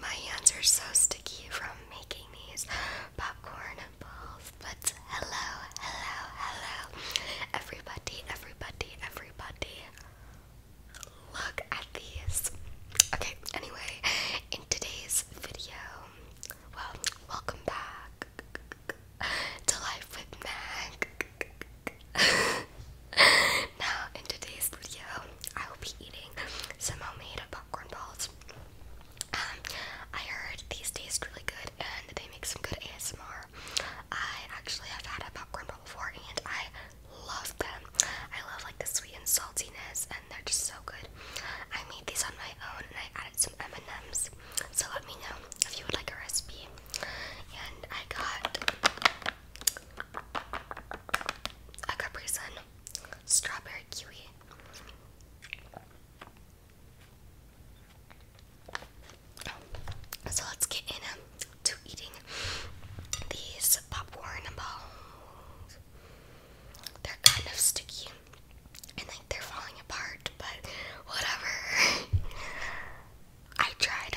My hands are so sticky from making these popcorn balls. But hello, hello, hello, everybody, everybody, everybody. Look at these. Okay, anyway, in today's video, well, welcome back to Life with Mag. Now, uh, in today's video, I will be eating some homemade popcorn balls. Um, I heard these taste really good and they make some good ASMR. I actually have had a popcorn ball before and I love them. I love like the sweet and saltiness and they're just so good. I made these on my own and I added some M&Ms. So let me know if you would like a recipe. And I got a Capri Sun, strawberry kiwi. So let's get in um, eating these popcorn balls. They're kind of sticky and like they're falling apart, but whatever. I tried.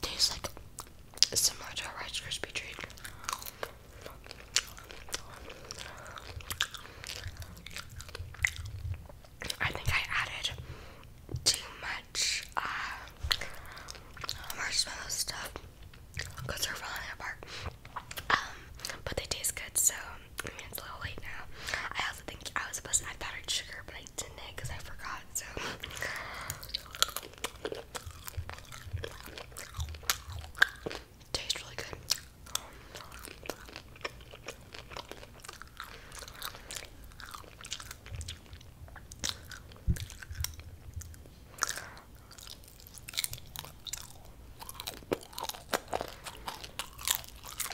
Tastes like similar to a Rice crispy treat. I think I added too much uh, marshmallow stuff because they're falling apart. Um, but they taste good, so I mean, it's a little late now. I also think I was supposed to add powdered sugar, but I didn't because I forgot. So. Tastes really good.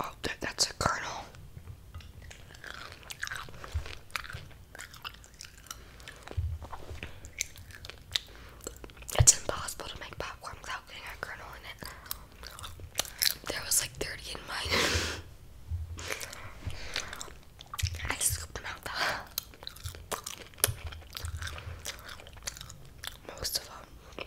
Oh, that, that's a kernel. It's impossible to make popcorn without getting a kernel in it. There was like 30 in mine. I scooped them out Most of them.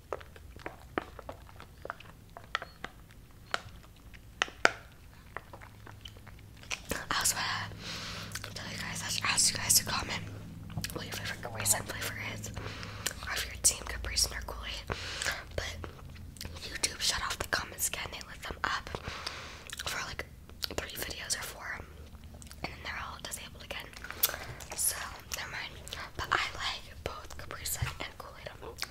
I was going tell you guys, I should you guys to comment what your favorite flavor is, or your team Capri Sun or Kool Aid. But YouTube shut off the comments again, they lit them up for like three videos or four, and then they're all disabled again. So, never mind. But I like both Capri Sun and Kool Aid.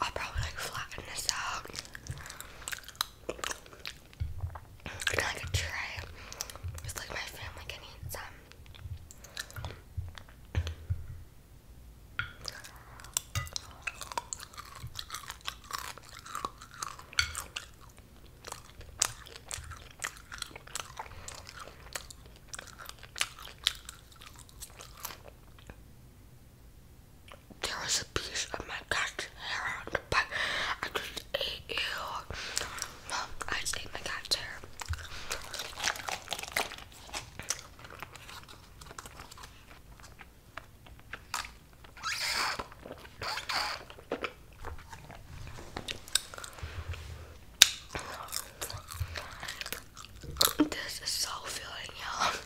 I'll probably like flatten this out in like a tray. It's like my family can eat some there was a piece of my cat's hair on the bite. I just ate you. Mom, I just ate my cat's hair. This is so filling, y'all.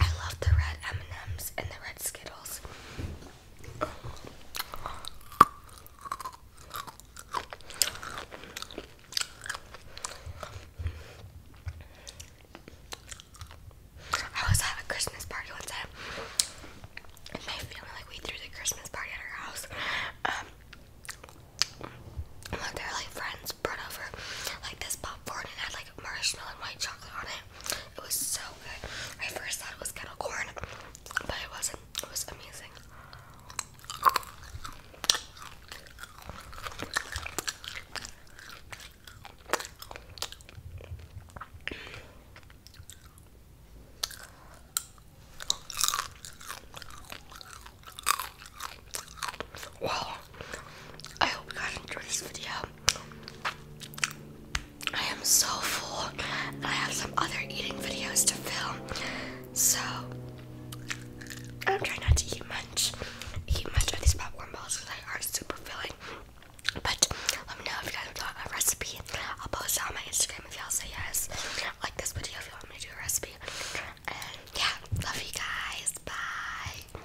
I love the red M&Ms and the red Skittles. I was at a Christmas party one time. And my family, like, we threw the Christmas party at our house. Um, one of their like friends brought over like this popcorn and had like marshmallow and white chocolate on it. It was so good. I first thought it was kettle corn, but it wasn't. It was amazing. Wow, I hope you guys enjoy this video. I am so full, and I have some other eating videos to film. So I'm trying not to eat much, eat much of these popcorn balls because they are super filling. But let me know if you guys want a recipe. I'll post it on my Instagram if y'all say yes. Like this video if you want me to do a recipe. And yeah, love you guys. Bye.